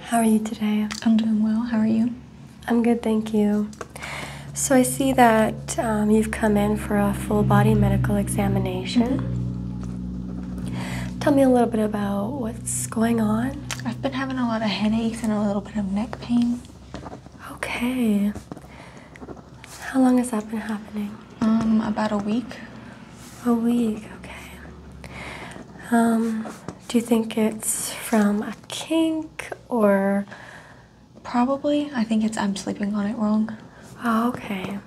How are you today? I'm doing well. How are you? I'm good, thank you. So I see that um, you've come in for a full body medical examination. Mm-hmm. Tell me a little bit about what's going on. I've been having a lot of headaches and a little bit of neck pain. Okay. How long has that been happening? Um, about a week. A week, okay. Um, do you think it's from a kink or? Probably. I think it's I'm sleeping on it wrong. Oh, okay.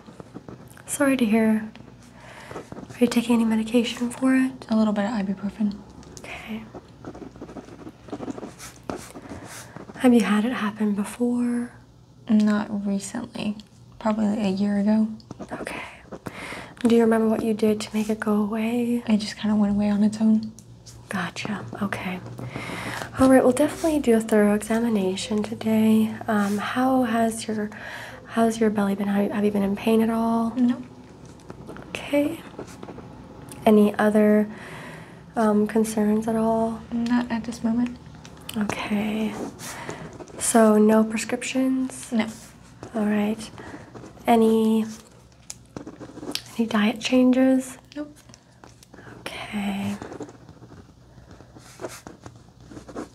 Sorry to hear. Are you taking any medication for it? A little bit of ibuprofen. Okay. Have you had it happen before? Not recently. Probably a year ago. Okay. Do you remember what you did to make it go away? It just kind of went away on its own. Gotcha. Okay. All right. We'll definitely do a thorough examination today. Um, how has your how's your belly been? Have you been in pain at all? No. Okay. Any other um, concerns at all? Not at this moment. Okay. So no prescriptions? No. All right. Any any diet changes? Nope. Okay.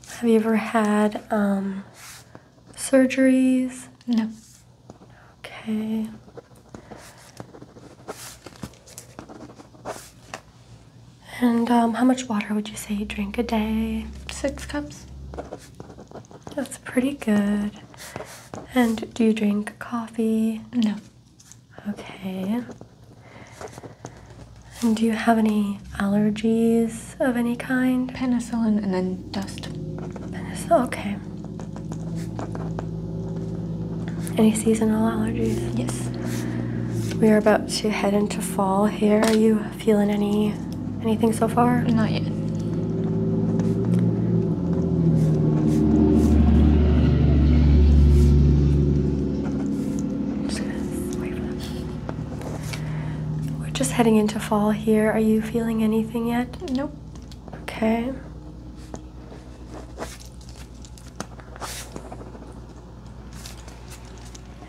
Have you ever had um, surgeries? No. Okay. And um, how much water would you say you drink a day? Six cups. That's pretty good. And do you drink coffee? No. Okay. And do you have any allergies of any kind? Penicillin and then dust. Penicillin, okay. Any seasonal allergies? Yes. We are about to head into fall here. Are you feeling any anything so far? Not yet. We're just heading into fall here. Are you feeling anything yet? Nope. Okay.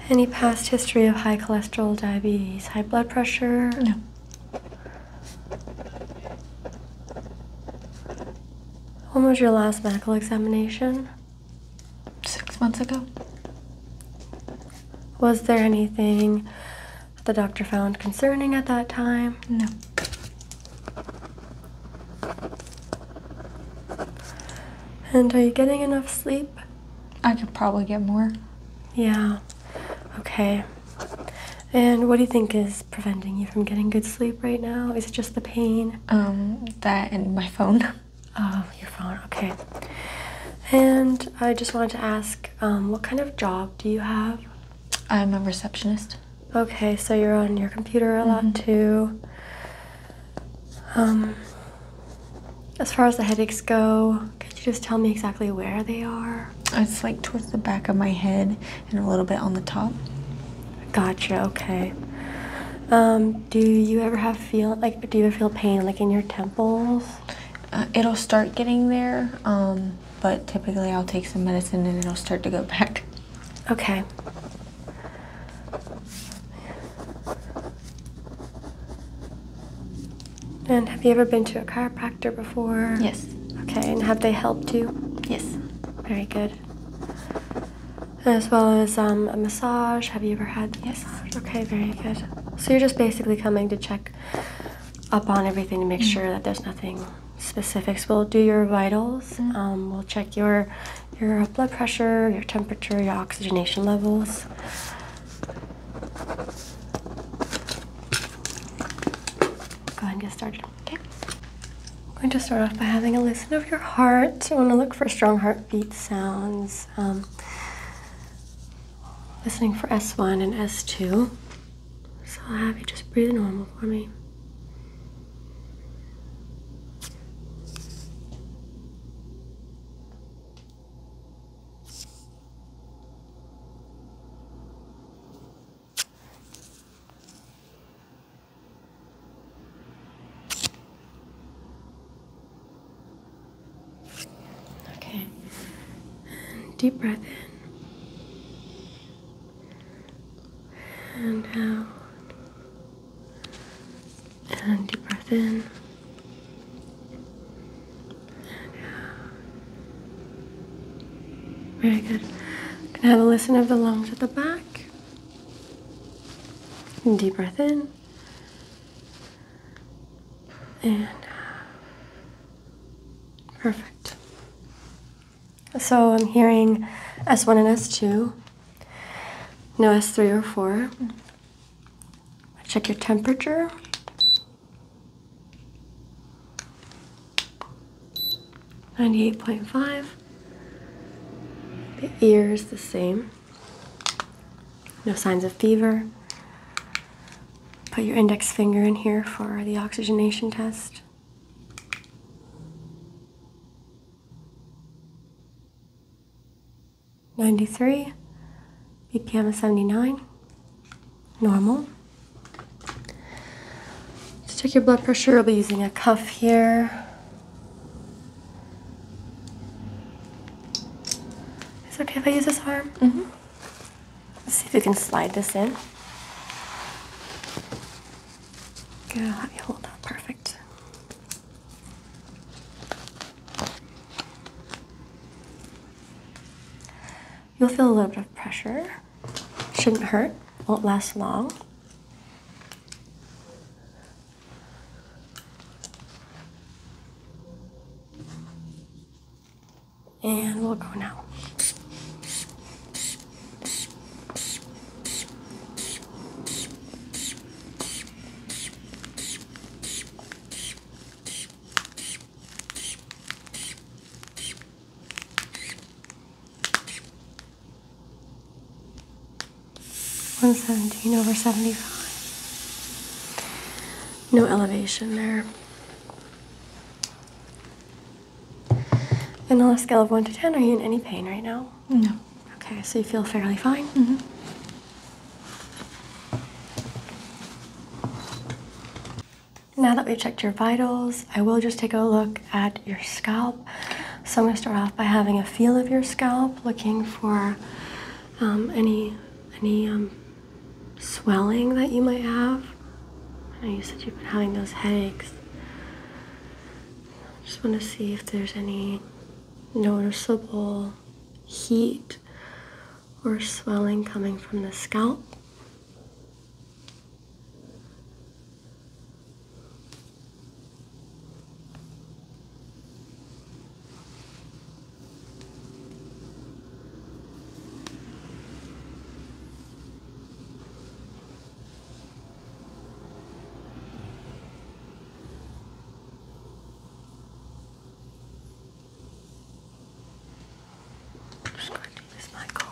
Any past history of high cholesterol, diabetes, high blood pressure? No. When was your last medical examination? Six months ago. Was there anything the doctor found concerning at that time? No. And are you getting enough sleep? I could probably get more. Yeah. Okay. And what do you think is preventing you from getting good sleep right now? Is it just the pain? Um, that and my phone. Oh, your phone. Okay. And I just wanted to ask, um, what kind of job do you have? I'm a receptionist. Okay, so you're on your computer a lot mm-hmm. too. Um, as far as the headaches go, could you just tell me exactly where they are? Uh, it's like towards the back of my head and a little bit on the top. Gotcha. Okay. Um, do you ever have feel like do you ever feel pain like in your temples? Uh, it'll start getting there, um, but typically I'll take some medicine and it'll start to go back. Okay. And have you ever been to a chiropractor before? Yes. Okay, and have they helped you? Yes. Very good. As well as um, a massage. Have you ever had? Yes. Okay, very good. So you're just basically coming to check up on everything to make mm. sure that there's nothing specifics. We'll do your vitals. Mm. Um, we'll check your your blood pressure, your temperature, your oxygenation levels go ahead and get started, okay? I'm going to start off by having a listen of your heart. I want to look for strong heartbeat sounds. Um, listening for S1 and S2. So I'll have you just breathe normal for me. Okay. Deep breath in. And out. And deep breath in. Very good. And have a listen of the lungs at the back. And deep breath in. And uh, perfect. So I'm hearing S1 and S2. No S3 or 4. Check your temperature. 98.5. The ears the same. No signs of fever. Put your index finger in here for the oxygenation test. 93, BPM gamma 79, normal. To check your blood pressure, i will be using a cuff here. Is it okay if I use this arm? Mm -hmm. Let's see if we can slide this in. Good, hold that, perfect. You'll feel a little bit of pressure. Shouldn't hurt, won't last long. And we'll go now. 117 over 75. No elevation there. And on a scale of 1 to 10, are you in any pain right now? No. Okay, so you feel fairly fine? Mm-hmm. Now that we've checked your vitals, I will just take a look at your scalp. So I'm going to start off by having a feel of your scalp, looking for um, any any um, swelling that you might have. I know you said you've been having those headaches. just want to see if there's any noticeable heat or swelling coming from the scalp. I'm just going to use my comb.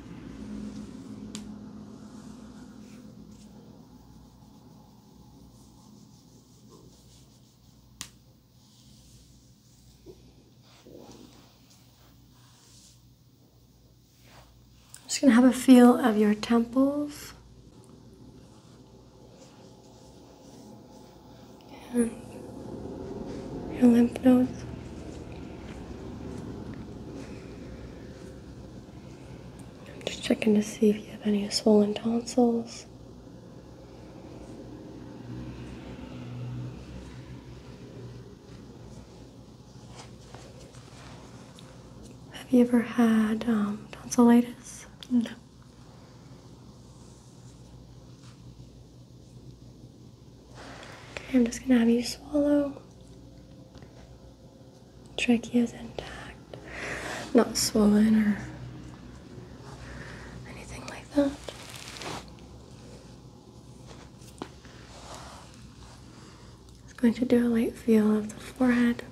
I'm just going to have a feel of your temples your lymph nodes. I'm just checking to see if you have any swollen tonsils. Have you ever had um, tonsillitis? No. I'm just gonna have you swallow. Trachea's intact, not swollen or anything like that. It's going to do a light feel of the forehead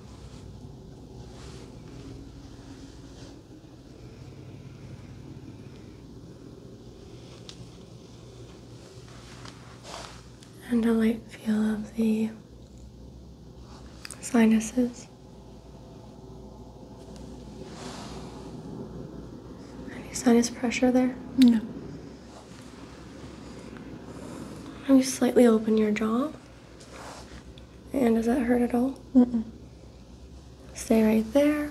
and a light feel of the sinuses. Any sinus pressure there? No. Can you slightly open your jaw? And does that hurt at all? Mm-mm. Stay right there.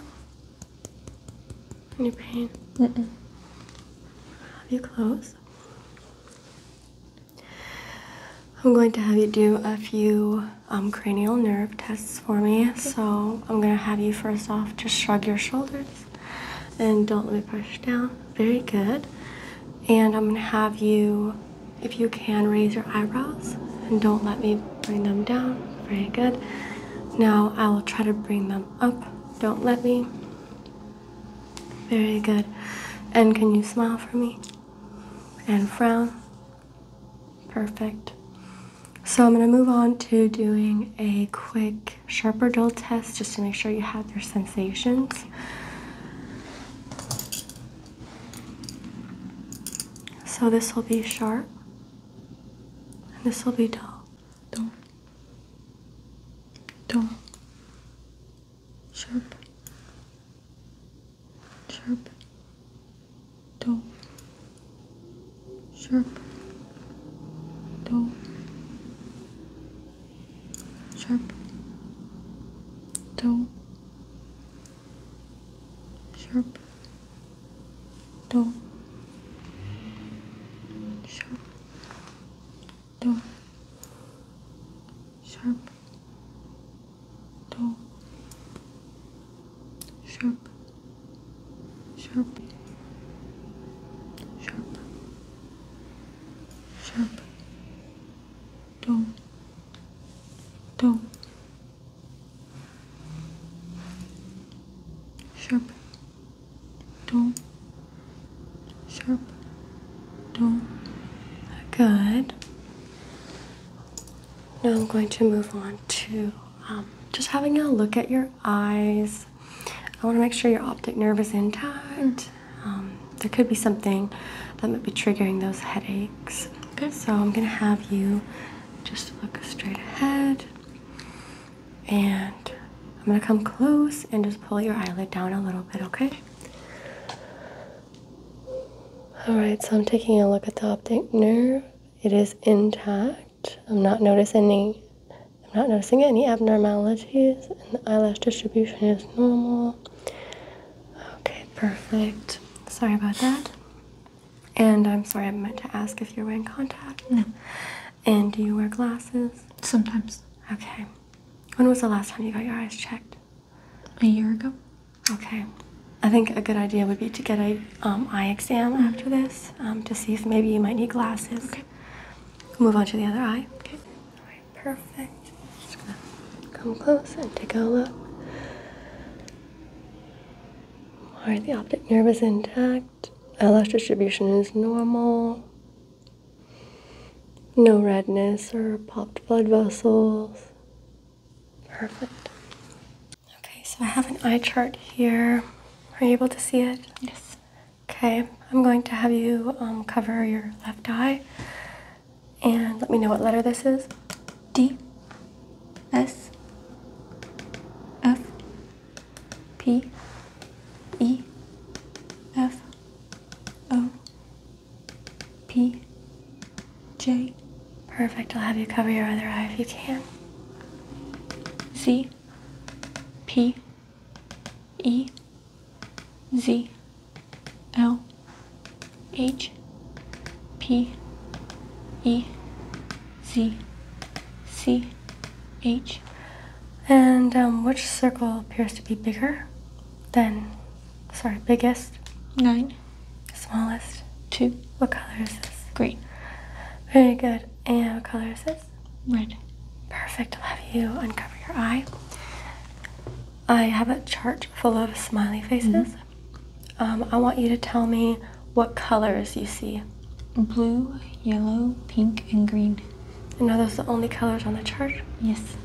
Any pain? Have you close. I'm going to have you do a few um, cranial nerve tests for me. So I'm going to have you first off just shrug your shoulders and don't let me push down. Very good. And I'm going to have you, if you can, raise your eyebrows and don't let me bring them down. Very good. Now I will try to bring them arm up. Don't let me. Very good. And can you smile for me? And frown. Perfect. So I'm going to move on to doing a quick sharp or dull test just to make sure you have your sensations. So this will be sharp and this will be dull. Don't dull, sharp, sharp, dull, sharp, dull, sharp, dull, sharp, dull, sharp do sharp do sharp sharp sharp sharp do do sharp do, not sharp, do. not Good. Now I'm going to move on to um, just having a look at your eyes. I want to make sure your optic nerve is intact. Um, there could be something that might be triggering those headaches. Okay. So I'm going to have you just look straight ahead. And I'm gonna come close and just pull your eyelid down a little bit, okay? Alright, so I'm taking a look at the optic nerve. It is intact. I'm not noticing any I'm not noticing any abnormalities and the eyelash distribution is normal. Okay, perfect. Sorry about that. And I'm sorry I meant to ask if you're wearing contact. No. And do you wear glasses? Sometimes. Okay. When was the last time you got your eyes checked? A year ago. Okay. I think a good idea would be to get a um, eye exam mm-hmm. after this um, to see if maybe you might need glasses. Okay. move on to the other eye. Okay. All right. Perfect. Just gonna come close and take a look. All right. The optic nerve is intact eyelash distribution is normal. No redness or popped blood vessels. Perfect. Okay, so I have an eye chart here. Are you able to see it? Yes. Okay, I'm going to have you um, cover your left eye and let me know what letter this is. D S F P E F O P J. Perfect. I'll have you cover your other eye if you can. Z P E Z L H P E Z C H, And um, which circle appears to be bigger than, sorry, biggest? Nine. Smallest? Two. What color is this? Green. Very good. And what color is this? Red. Perfect. Love you uncover your eye. I have a chart full of smiley faces. Mm-hmm. Um, I want you to tell me what colors you see blue, yellow, pink, and green. And are those the only colors on the chart? Yes.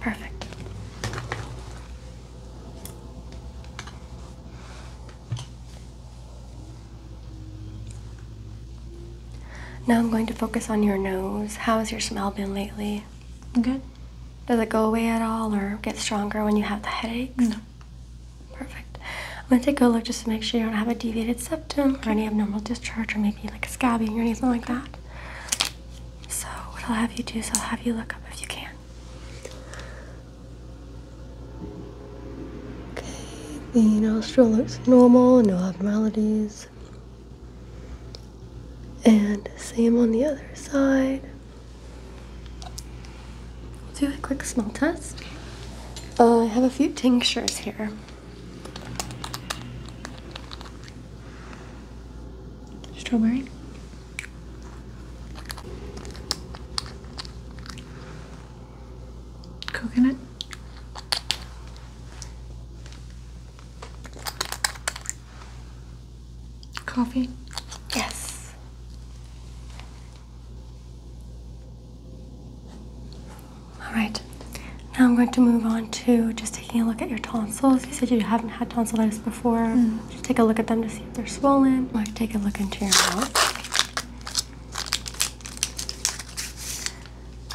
Perfect. Now I'm going to focus on your nose. How has your smell been lately? Good. Does it go away at all or get stronger when you have the headaches? No. Perfect. I'm gonna take a look just to make sure you don't have a deviated septum or any abnormal discharge or maybe like a scabbing or anything like that. So what I'll have you do is I'll have you look up if you can. Okay, the nostril looks normal, no abnormalities. And same on the other side. We'll do a quick smell test. I have a few tinctures here. Strawberry. Coconut. Coffee. Yes. All right. Now I'm going to move on to just taking a look at your tonsils. You said you haven't had tonsillitis before. Hmm. Just take a look at them to see if they're swollen. I can take a look into your mouth.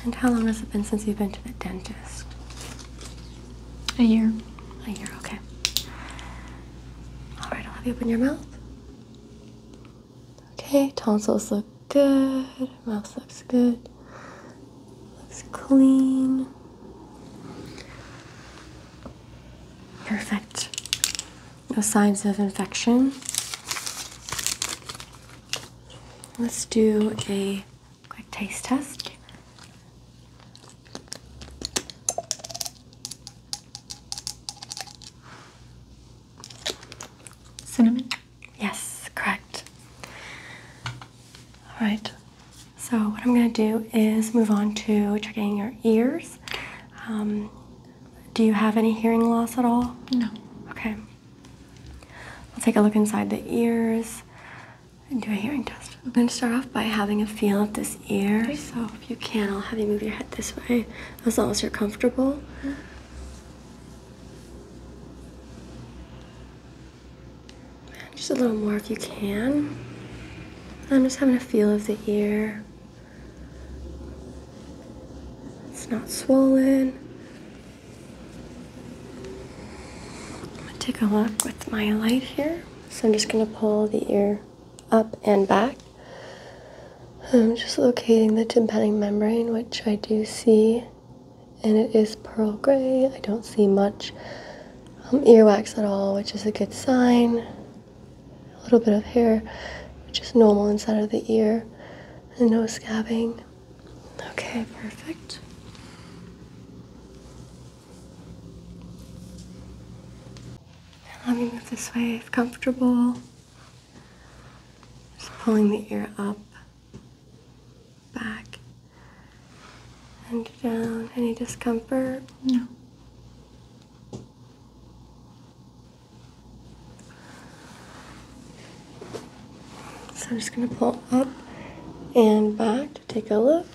And how long has it been since you've been to the dentist? A year. A year, okay. All right, I'll have you open your mouth. Okay, tonsils look good, mouth looks good, looks clean. Perfect. No signs of infection. Let's do a quick taste test. Cinnamon. Yes, correct. All right. So what I'm going to do is move on to checking your ears. Um, do you have any hearing loss at all? No. Okay. we will take a look inside the ears and do a hearing test. I'm going to start off by having a feel of this ear. So if you can, I'll have you move your head this way as long as you're comfortable just a little more if you can. I'm just having a feel of the ear. It's not swollen. I'm gonna take a look with my light here. So I'm just gonna pull the ear up and back. I'm just locating the tympanic membrane, which I do see, and it is pearl gray. I don't see much um, earwax at all, which is a good sign. A little bit of hair, which is normal inside of the ear, and no scabbing. Okay, perfect. Let me move this way comfortable. Just pulling the ear up, back, and down. Any discomfort? No. So I'm just going to pull up and back to take a look.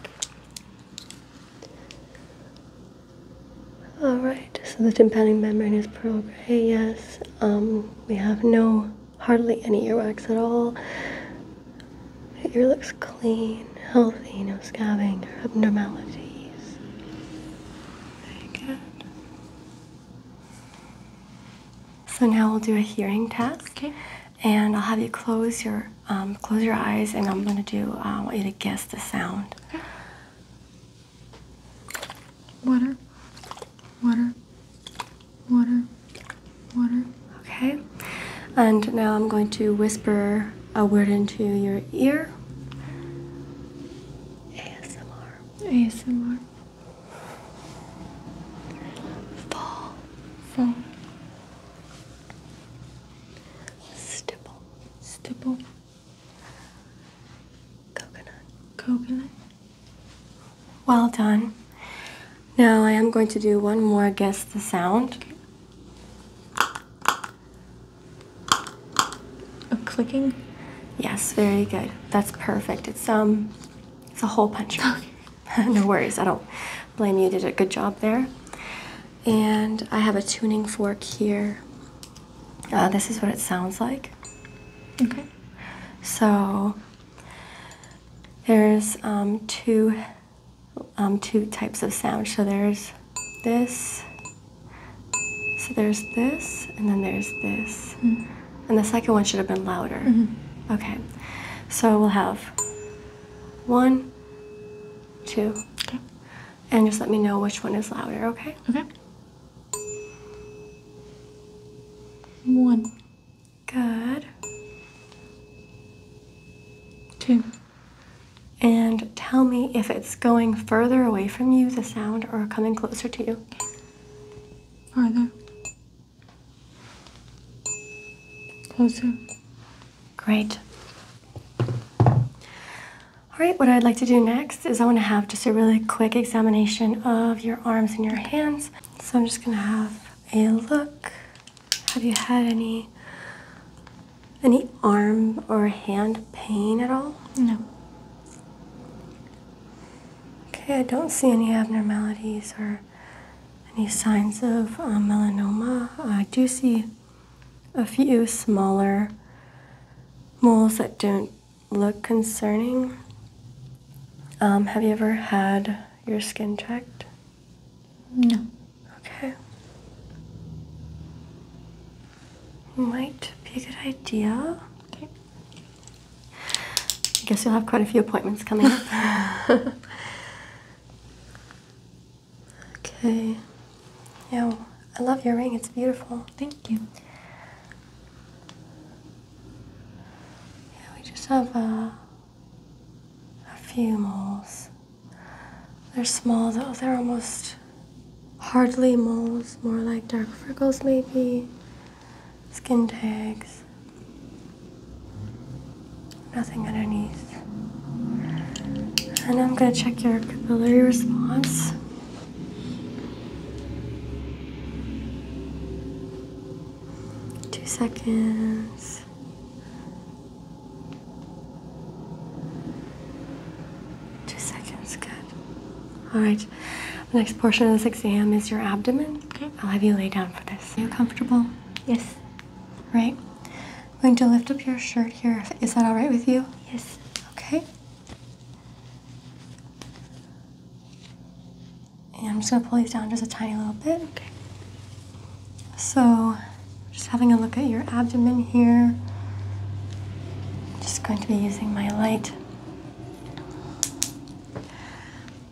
Alright, so the tympanic membrane is pearl gray, yes. Um, we have no, hardly any earwax at all. Your ear looks clean, healthy, no scabbing or abnormalities. Very good. So now we'll do a hearing test. And I'll have you close your um, close your eyes, and I'm gonna do. Uh, I want you to guess the sound. Water, water, water, water. Okay. And now I'm going to whisper a word into your ear. ASMR. ASMR. Fall. Fall. Stipple. Stipple. Coconut. Coconut. Well done. Now I am going to do one more guess the sound. A clicking? Yes, very good. That's perfect. It's um it's a hole puncher. no worries, I don't blame you. you. Did a good job there. And I have a tuning fork here. Uh, this is what it sounds like. Okay. So there's um, two, um, two types of sound. So there's this, so there's this, and then there's this. Mm-hmm. And the second one should have been louder. Mm-hmm. Okay, so we'll have one, two, okay. and just let me know which one is louder, okay? Okay. One. Good. Two. And tell me if it's going further away from you, the sound, or coming closer to you. Are they Closer. Great. All right, what I'd like to do next is I want to have just a really quick examination of your arms and your hands. So I'm just going to have a look. Have you had any any arm or hand pain at all? No. Okay, I don't see any abnormalities or any signs of uh, melanoma. I do see a few smaller moles that don't look concerning? Um, have you ever had your skin checked? No. Okay. Might be a good idea. Okay. I guess you'll have quite a few appointments coming up. okay. Yeah, I love your ring. It's beautiful. Thank you. Yeah, we just have a, uh, a few moles. They're small though, they're almost hardly moles, more like dark freckles maybe, skin tags, nothing underneath. And I'm gonna check your capillary response. Two seconds. Two seconds, good. All right. The next portion of this exam is your abdomen. Okay. I'll have you lay down for this. Are you comfortable? Yes. Right. I'm going to lift up your shirt here. Is that all right with you? Yes. Okay. I'm just gonna pull these down just a tiny little bit. Okay. So, just having a look at your abdomen here. just going to be using my light.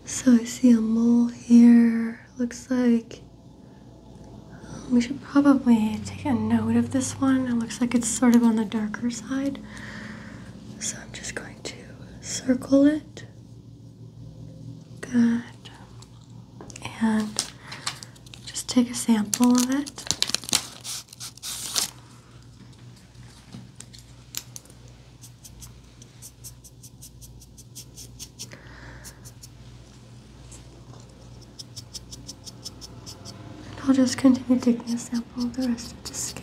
So I see a mole here. Looks like we should probably take a note of this one. It looks like it's sort of on the darker side. So I'm just going to circle it. Good. And just take a sample of it. And I'll just continue taking a sample of the rest of the skin.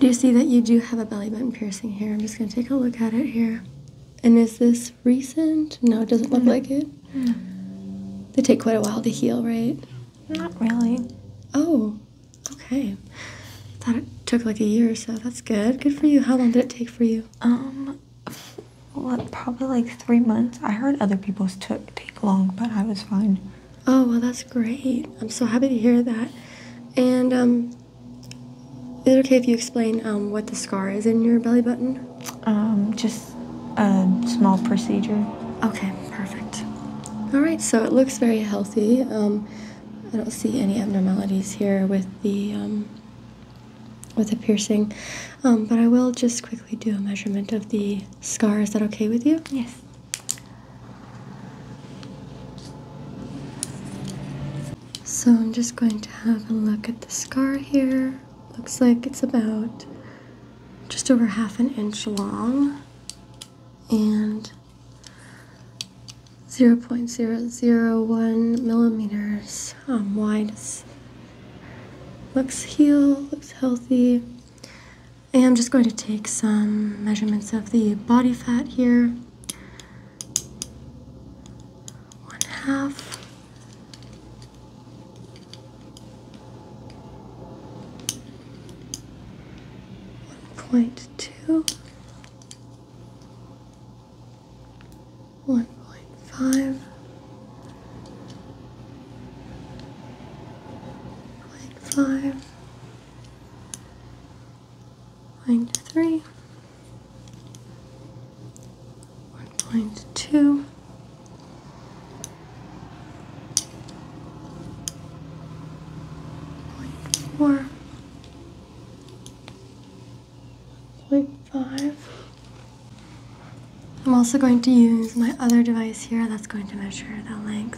Do you see that you do have a belly button piercing here. I'm just going to take a look at it here. And is this recent? No, it doesn't look mm-hmm. like it. Mm-hmm. They take quite a while to heal, right? Not really. Oh, okay. I thought it took like a year or so. That's good. Good for you. How long did it take for you? Um, probably like three months. I heard other people's took take long, but I was fine. Oh, well, that's great. I'm so happy to hear that. And um, is it okay if you explain um, what the scar is in your belly button? Um, just a small procedure. Okay, perfect. All right, so it looks very healthy. Um, I don't see any abnormalities here with the with the piercing, but I will just quickly do a measurement of the scar. Is that okay with you? Yes. So I'm just going to have a look at the scar here. Looks like it's about just over half an inch long and 0.001 millimeters um, wide. Looks healed. looks healthy. I am just going to take some measurements of the body fat here. One half. One point two. One point five. Point five, point three, one point two. Point four, point five. I'm also going to use my other device here that's going to measure the length.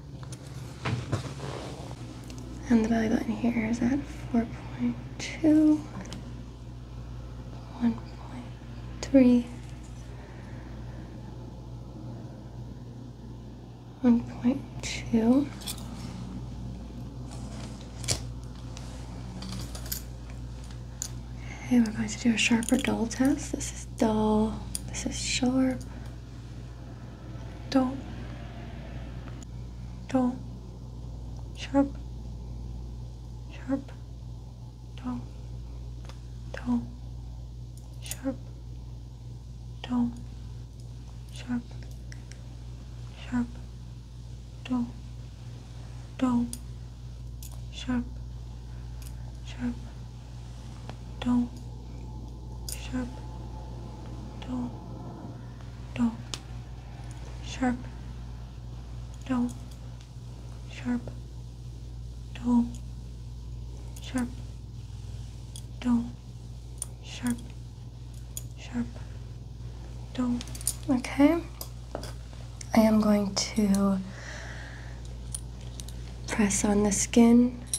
And the belly button here is at 4.2, 1.2, Okay, we're going to do a sharp or dull test. This is dull, this is sharp, dull, dull, sharp, sharp, dull, dull, sharp, dull, sharp, sharp, dull, dull, sharp, sharp, down, sharp, down, down, sharp, down, sharp, down, sharp, down, sharp, sharp, down. Okay. I am going to press on the skin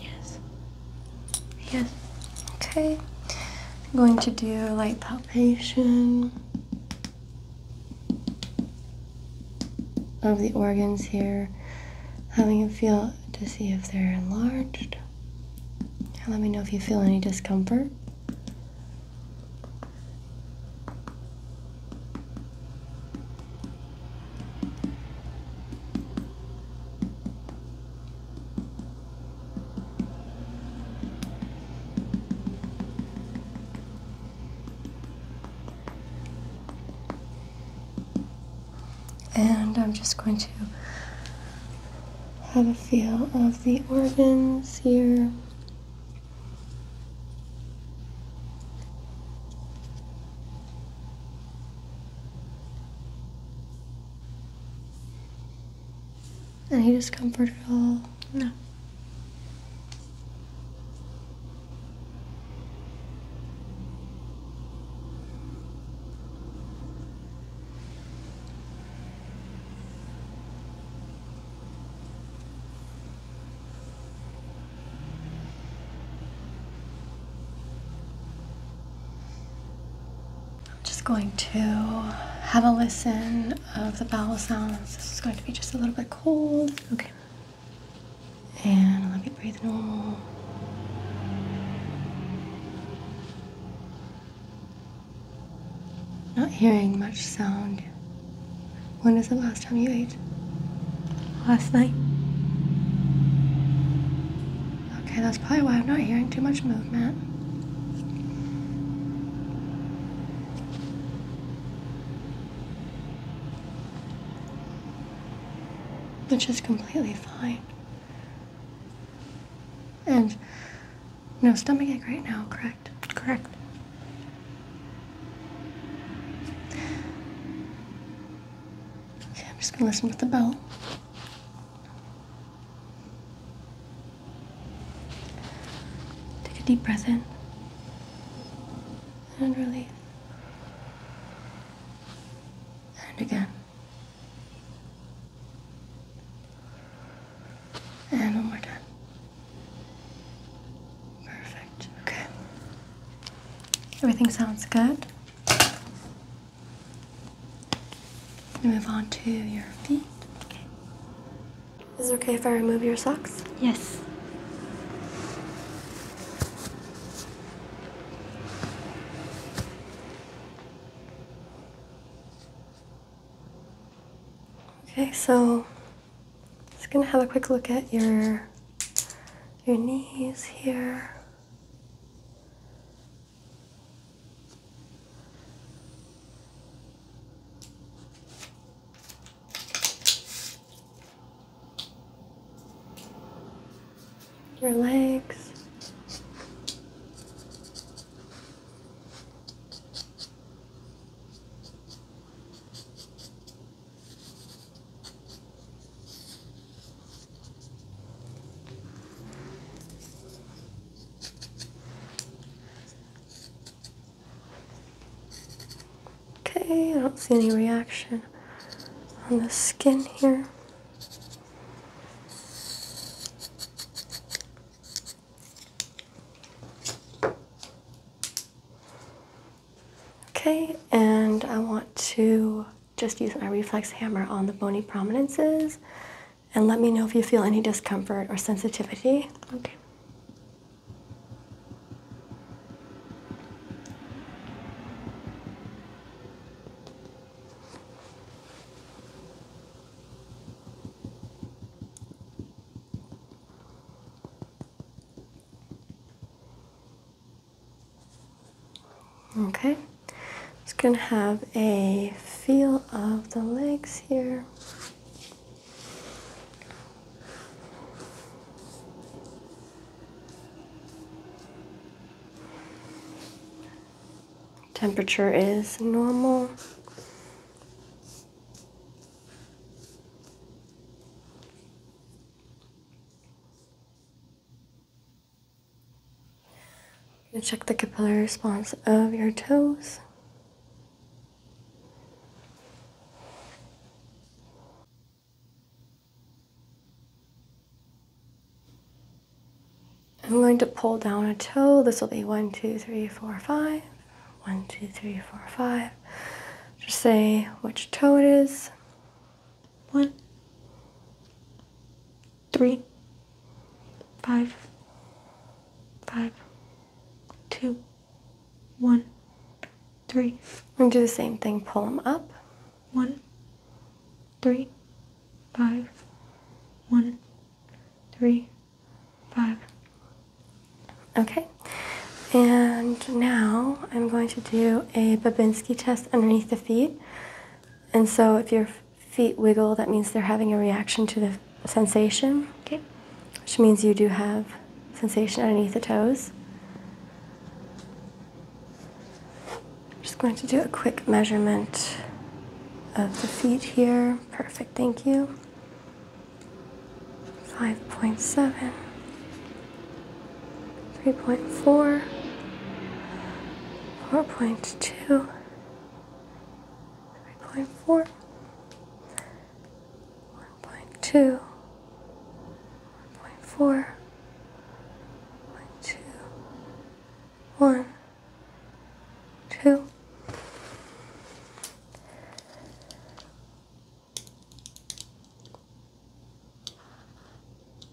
Yes. Yes. Okay. I'm going to do light palpation of the organs here, having a feel to see if they're enlarged. let me know if you feel any discomfort. And I'm just going to have a feel of the organs here. And he just comforted all? No. I'm just going to have a listen of the bowel sounds. This is going to be just a little bit cold. Okay. And let me breathe normal. Not hearing much sound. When was the last time you ate? Last night. Okay, that's probably why I'm not hearing too much movement. Which is completely fine. And no stomach ache right now, correct? Correct. Okay, I'm just gonna listen with the bell. Take a deep breath in and release. And again. And one more time. Perfect. Okay. Everything sounds good move on to your feet. Okay. Is it okay if I remove your socks? Yes. Okay, so just gonna have a quick look at your your knees here your legs. Okay, I don't see any reaction on the skin here. Okay, and I want to just use my reflex hammer on the bony prominences and let me know if you feel any discomfort or sensitivity. Okay. Okay, just gonna have a feel of the legs here. Temperature is normal. Check the capillary response of your toes. I'm going to pull down a toe. This will be one, two, three, four, five. One, two, three, four, five. Just say which toe it is. One, three, five, five, two, one, three. And do the same thing, pull them up. One, three, five, one, three, five. Okay. And now I'm going to do a Babinski test underneath the feet. And so if your feet wiggle, that means they're having a reaction to the sensation. Which means you do have sensation underneath the toes. just going to do a quick measurement of the feet here. Perfect, thank you. 5.7. 3.4, 4.2, 3.4, 1.2, 1.4, 1.2, 1, 2,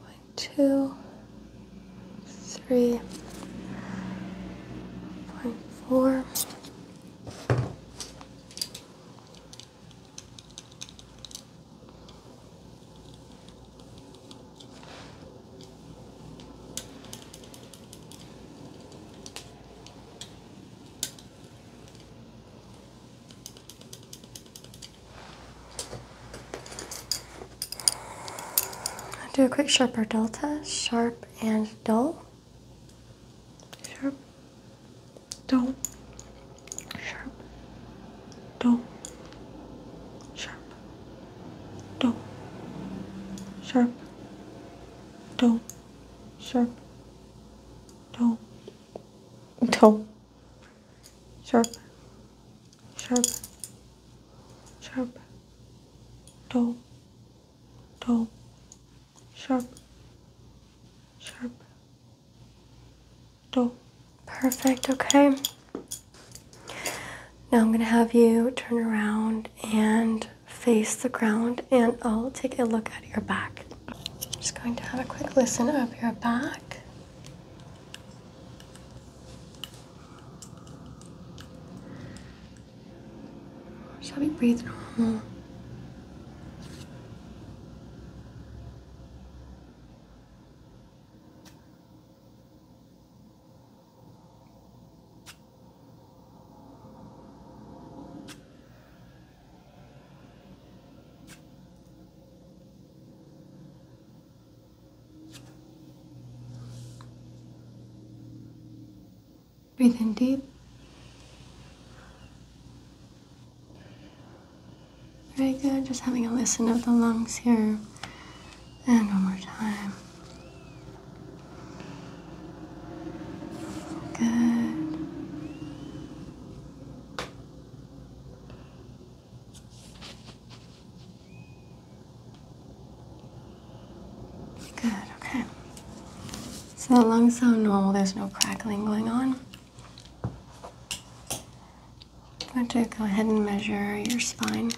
One, two, three, point four. Do a quick sharp or delta, sharp and dull. Sharp, dull, sharp, dull, sharp, dull, sharp, dull, sharp, dull, dull sharp, sharp, sharp, dull, dull, sharp, sharp, dull. Perfect, okay. Now I'm gonna have you turn around and face the ground and I'll take a look at your back. just going to have a quick listen of your back. Shall we breathe normal? Breathe in deep. Very good. Just having a listen of the lungs here. And one more time. Good. Good, okay. So the lungs sound normal, there's no crackling going on. I'm going to go ahead and measure your spine.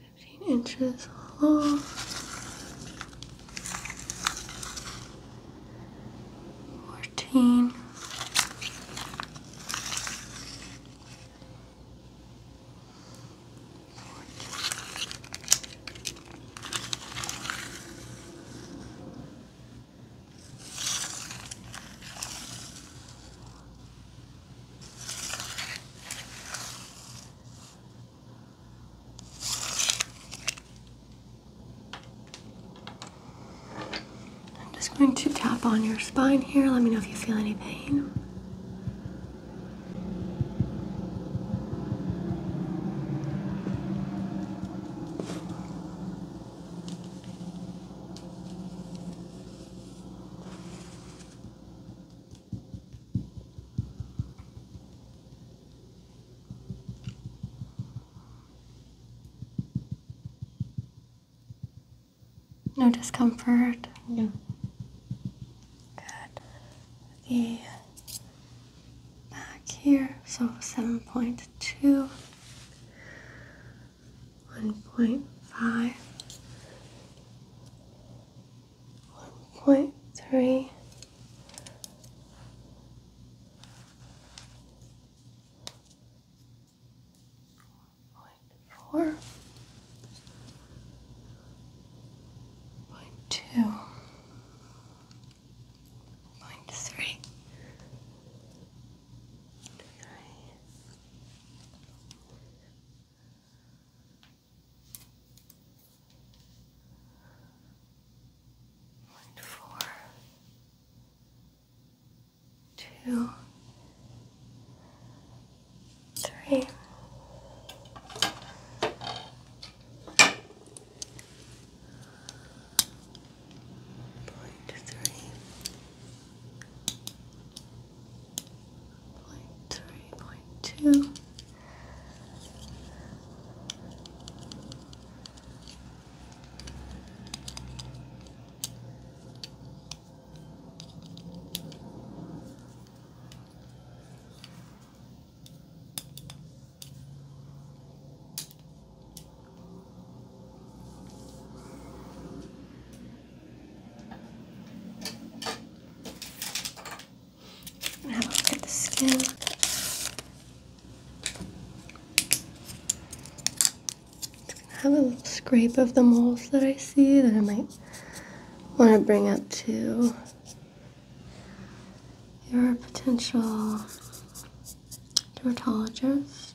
15 inches long. Fourteen, I'm just going to tap on your spine here. Let me know if you feel any pain. No discomfort. No. Good. The back here, so 7.2. 1.5 1.3 Four point two point three three Point four, two, three, point three. 32 have a look at the skin. have a little scrape of the moles that I see that I might want to bring up to your potential dermatologist.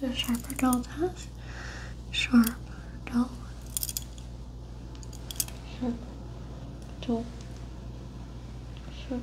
The sharper dull path. Sharp, dull. Sharp, dull. Sharp,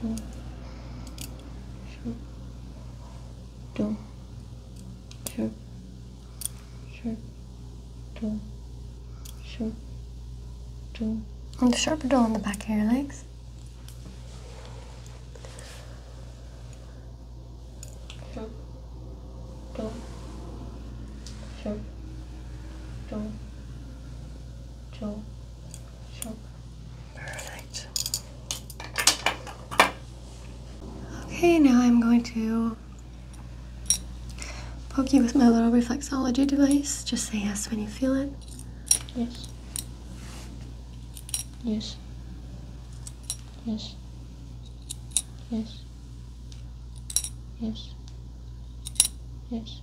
do sharp do sharp do do and the sharp do on the back of your legs sharp do sharp do do Sure. Perfect. Okay, now I'm going to poke you with my little reflexology device. Just say yes when you feel it. Yes. Yes. Yes. Yes. Yes. Yes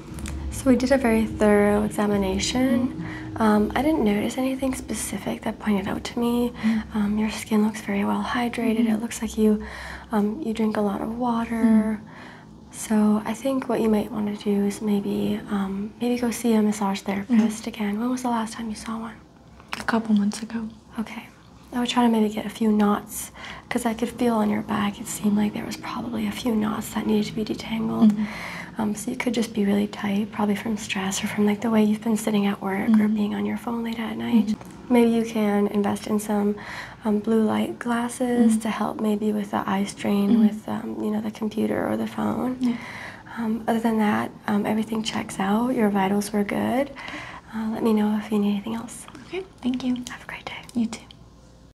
So we did a very thorough examination. Mm-hmm. Um, I didn't notice anything specific that pointed out to me. Mm-hmm. Um, your skin looks very well hydrated. Mm-hmm. It looks like you um, you drink a lot of water. So I think what you might want to do is maybe maybe go see a massage therapist again. When was the last time you saw one? A couple months ago. Okay. I would try to maybe get a few knots because I could feel on your back, it seemed like there was probably a few knots that needed to be detangled. Mm-hmm. Um, so you could just be really tight, probably from stress or from like the way you've been sitting at work or mm-hmm. being on your phone late at night. Mm-hmm. Maybe you can invest in some um, blue light glasses to help maybe with the eye strain with um, you know the computer or the phone. other than that, everything checks out. Your vitals were good. Uh, let me know if you need anything else. Okay, thank you. Have a great day. You too.